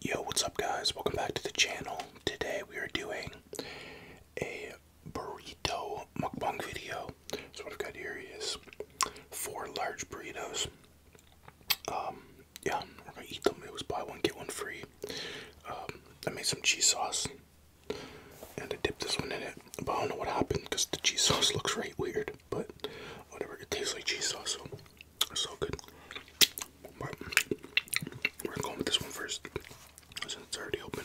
Yo, what's up guys? Welcome back to the channel. Today we are doing a burrito mukbang video. So what I've got here is four large burritos. Um, yeah, we're gonna eat them. It was buy one, get one free. Um, I made some cheese sauce and I dipped this one in it. But I don't know what happened because the cheese sauce looks right weird. But whatever, it tastes like cheese sauce so good. we're going with this one first since it's already open.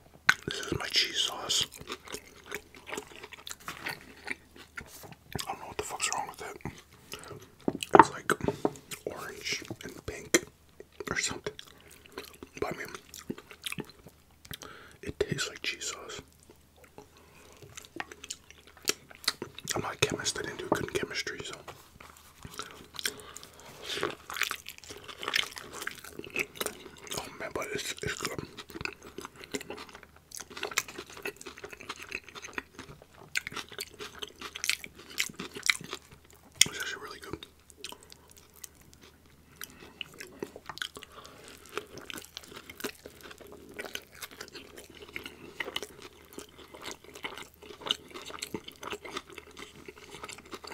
This is my cheese sauce. I don't know what the fuck's wrong with it. It's like orange and pink or something. I mean, it tastes like cheese sauce. I'm not a chemist, I didn't do good in chemistry, so. Oh man, but it's, it's good. It's actually really good.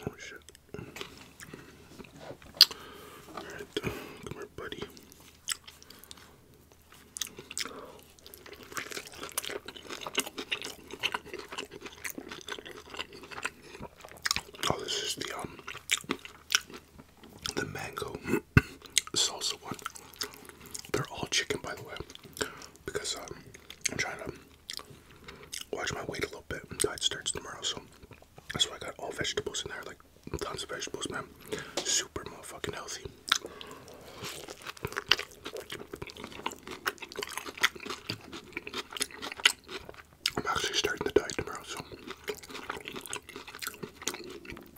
Oh shit. Alright, come here, buddy. Oh, this is the um the mango salsa one. They're all chicken, by the way, because um, I'm trying to watch my weight a little bit. Diet starts tomorrow, so that's why I got all vegetables in there, like tons of vegetables, man. Super motherfucking healthy. I'm actually starting the diet tomorrow, so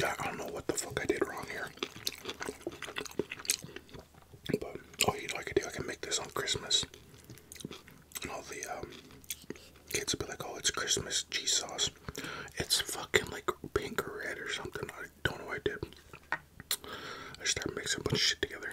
I don't know what the fuck I did wrong here. But oh, you know what I I can make this on Christmas. And all the um, kids will be like, "Oh, it's Christmas cheese sauce." It's fucking like pink or red or something. I don't know what I did. I just started mixing a bunch of shit together.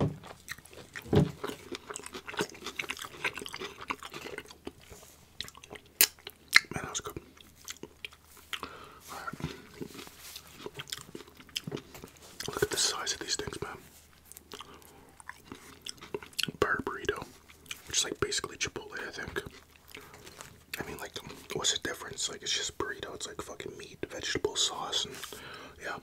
Man, that was good. Look at the size of these things, man. Bar which is like basically Chipotle, I think. I mean, like, what's the difference? Like, it's just burrito. It's like fucking meat, vegetable sauce, and yeah.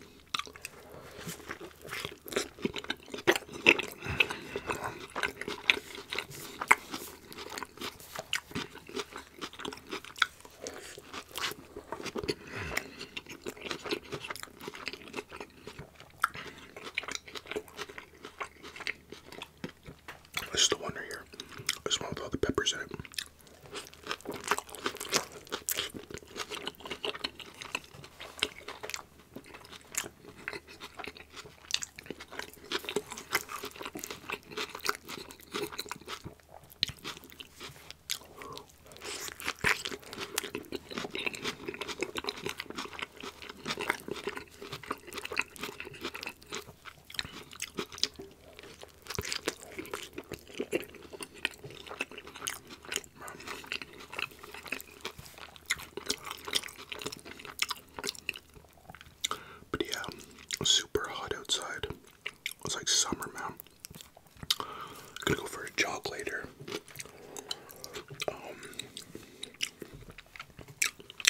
This is the one right here. This one with all the peppers in it. But yeah, super hot outside. It's like summer, man. I'm gonna go for a jog later. Um,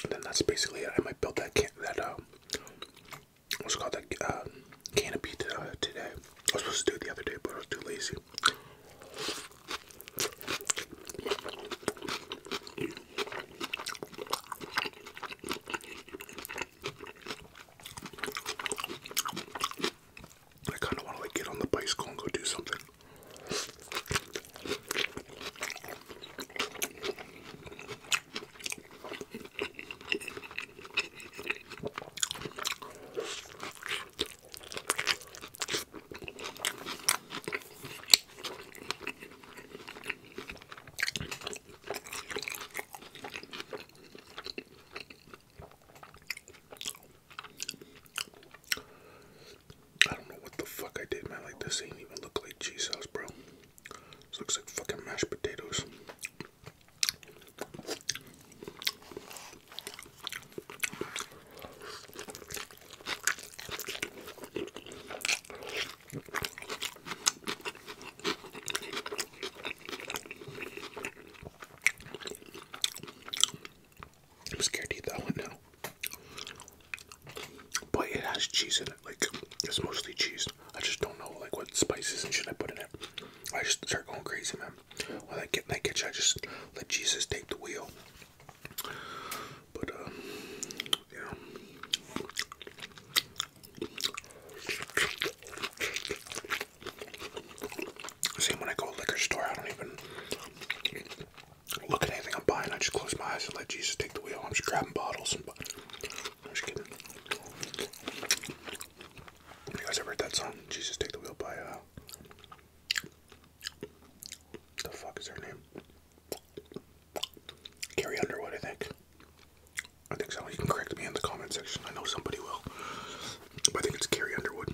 then that's basically it. I might build that can that uh, what's called um, a uh, canopy today. I was supposed to do it the other day, but I was too lazy. I kind of want to like get on the bicycle and go do something. I don't know what the fuck I did, man. Like, this ain't even look like cheese sauce, bro. This looks like fucking mashed potatoes. I'm scared to eat that one now but it has cheese in it. Like it's mostly cheese. I just don't know like what spices and shit I put in it. I just start going crazy, man. When I get in that kitchen, I just let Jesus take the wheel. But um, yeah. Same when I go liquor store, I don't even look at anything I'm buying. I just close my eyes and let Jesus take the wheel. I'm just grabbing bottles. You guys ever heard that song? Jesus Take the Wheel by uh the fuck is her name? Carrie Underwood, I think. I think so. You can correct me in the comment section. I know somebody will. I think it's Carrie Underwood.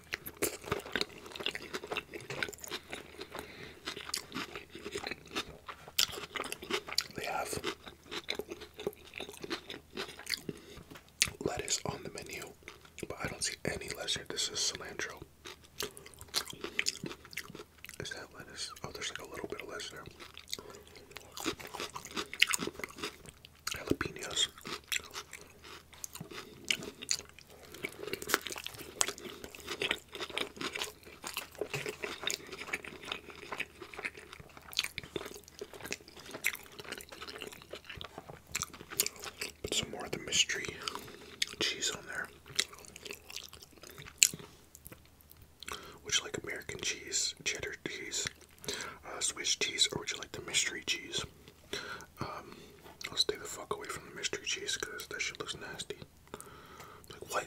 They have lettuce on the menu, but I don't see any lettuce here. This is cilantro. Is that lettuce? Oh, there's like a little bit of lettuce there. Jalapenos. Put some more of the mystery cheese on there. Would you like American cheese, cheddar cheese, uh, Swiss cheese, or would you like the mystery cheese? Um, I'll stay the fuck away from the mystery cheese because that shit looks nasty. Like, what?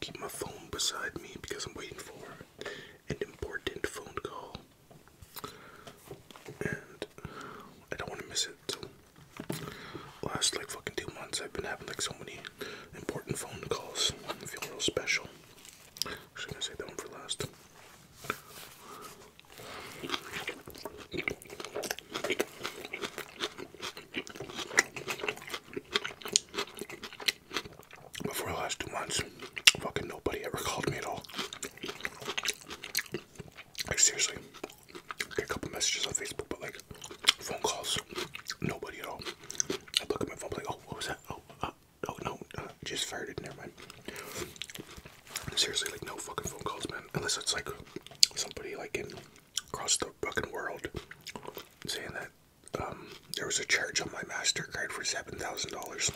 keep my phone beside me because I'm waiting for an important phone call. And I don't want to miss it. So, last like fucking two months, I've been having like so many important phone calls. I feel real special. Should i say going that one for last. But for the last two months, fucking nobody ever called me at all. Like seriously, I get a couple messages on Facebook, but like phone calls, nobody at all. I look at my phone, like, oh, what was that? Oh, uh, oh no, uh, just fired it. Never mind. Seriously, like no fucking phone calls, man. Unless it's like somebody like in across the fucking world saying that um, there was a charge on my MasterCard for $7,000.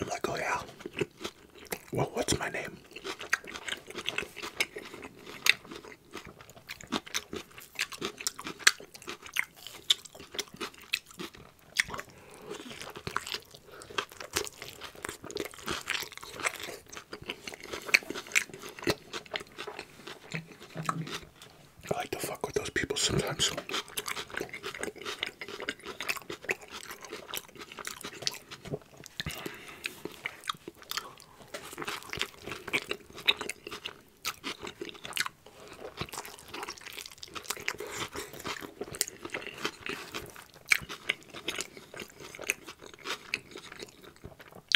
I'm like, oh yeah. Well, what's my name? I like to fuck with those people sometimes.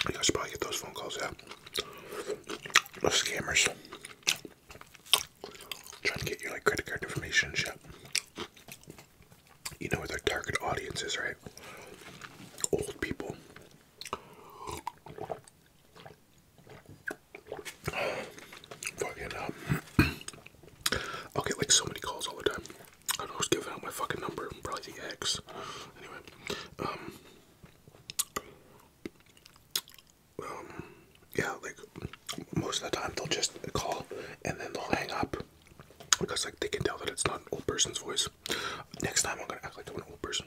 You guys probably get those phone calls, yeah. Those scammers. Trying to get your like credit card information shit. You know where their target audience is, right? Old people. Fucking um I'll get like so many calls all the time. I don't know who's giving out my fucking number. Probably the X. Anyway, um, um, yeah, like most of the time they'll just call and then they'll hang up because like they can tell that it's not an old person's voice. Next time I'm gonna act like I'm an old person.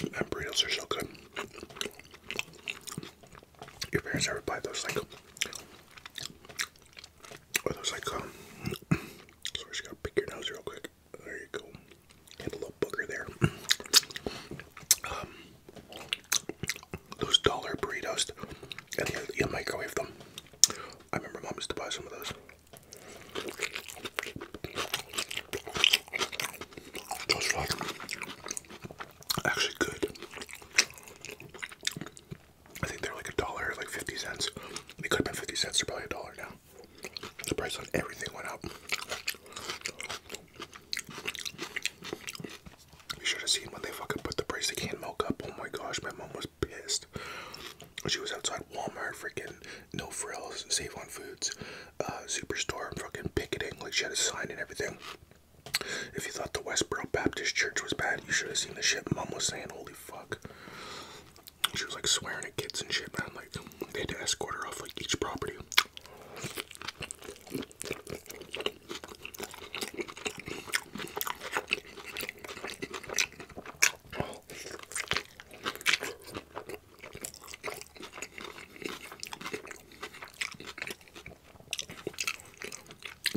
And burritos are so good. Your parents ever buy those like, or those like, um, sorry, just gotta pick your nose real quick. There you go. Get a little booger there. Um, those dollar burritos, and you, microwave them. I remember mom used to buy some of those. Just actually good. I think they're like a dollar, like 50 cents. They could have been 50 cents, they're probably a dollar now. The price on everything went up. You should have seen when they fucking put the price of canned milk up. Oh my gosh, my mom was pissed. She was outside Walmart, freaking no frills, save on foods, uh, superstore, fucking picketing. Like she had a sign and everything. If you thought the Westboro Baptist Church was bad, you should have seen the shit Mom was saying. Holy fuck. She was like swearing at kids and shit, man. Like, they had to escort her off like each property.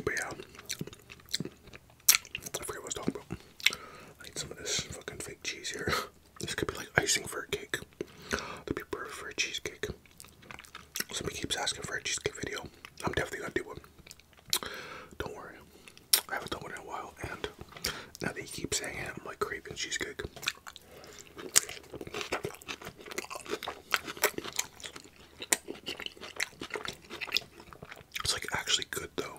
But yeah, I forget what I was talking about. I need some of this fucking fake cheese here. This could be like icing for a cake. That'd be perfect for a cheesecake. Somebody keeps asking for a cheesecake video. I'm definitely gonna do one. Don't worry, I haven't done one in a while, and now that you keep saying it, I'm like craving cheesecake. It's like actually good though.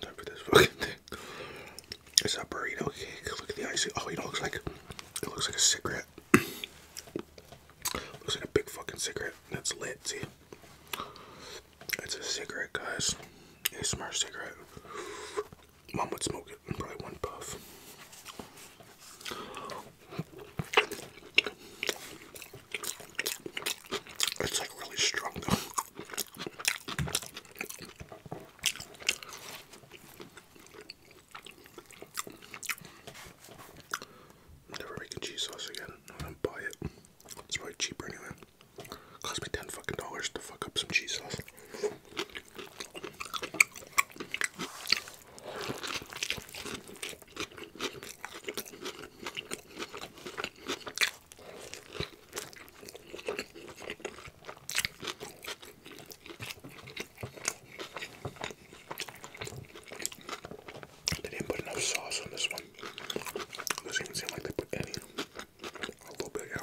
Time for this fucking thing. It's a burrito cake. Look at the icing. Oh, it looks like it looks like a cigarette. looks like a big fucking cigarette. That's lit. See, it's a cigarette, guys. A smart cigarette. Mom would smoke it. in Probably one puff. It's like really strong though. Never making cheese sauce again. i gonna buy it. It's probably cheaper anyway. Cost me ten fucking dollars to fuck up some cheese sauce. They didn't put enough sauce on this one. Doesn't seem like they put any. A little bit, yeah.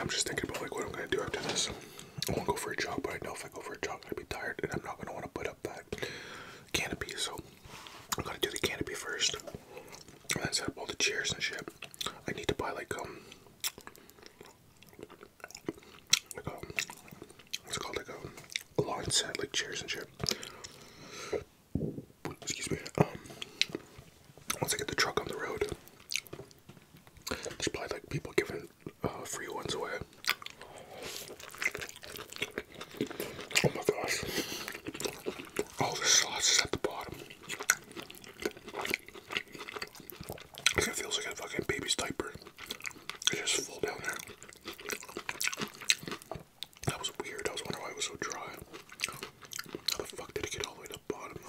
I'm just thinking about like what I'm gonna do after this. I won't go for a jog, but I know if I go for a jog, I'd be tired, and I'm not gonna want to put up that canopy. So I'm gonna do the canopy first. And I set up all the chairs and shit. I need to buy like um like a um, what's called like um, a lawn set, like chairs and shit. Excuse me. Um once I get the truck on the road. There's probably like people giving uh, free ones away. Oh my gosh. All the sauce is at the bottom it feels like a fucking baby's diaper. It's just full down there. That was weird. I was wondering why it was so dry. How the fuck did it get all the way to the bottom though?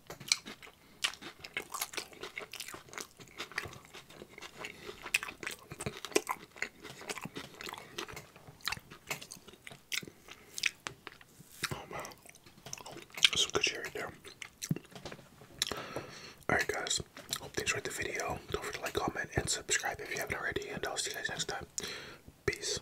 Oh wow, that's good shit right there. Alright guys, hope you enjoyed the video. Don't forget to like, comment, and subscribe if you haven't already, and I'll see you guys next time. Peace.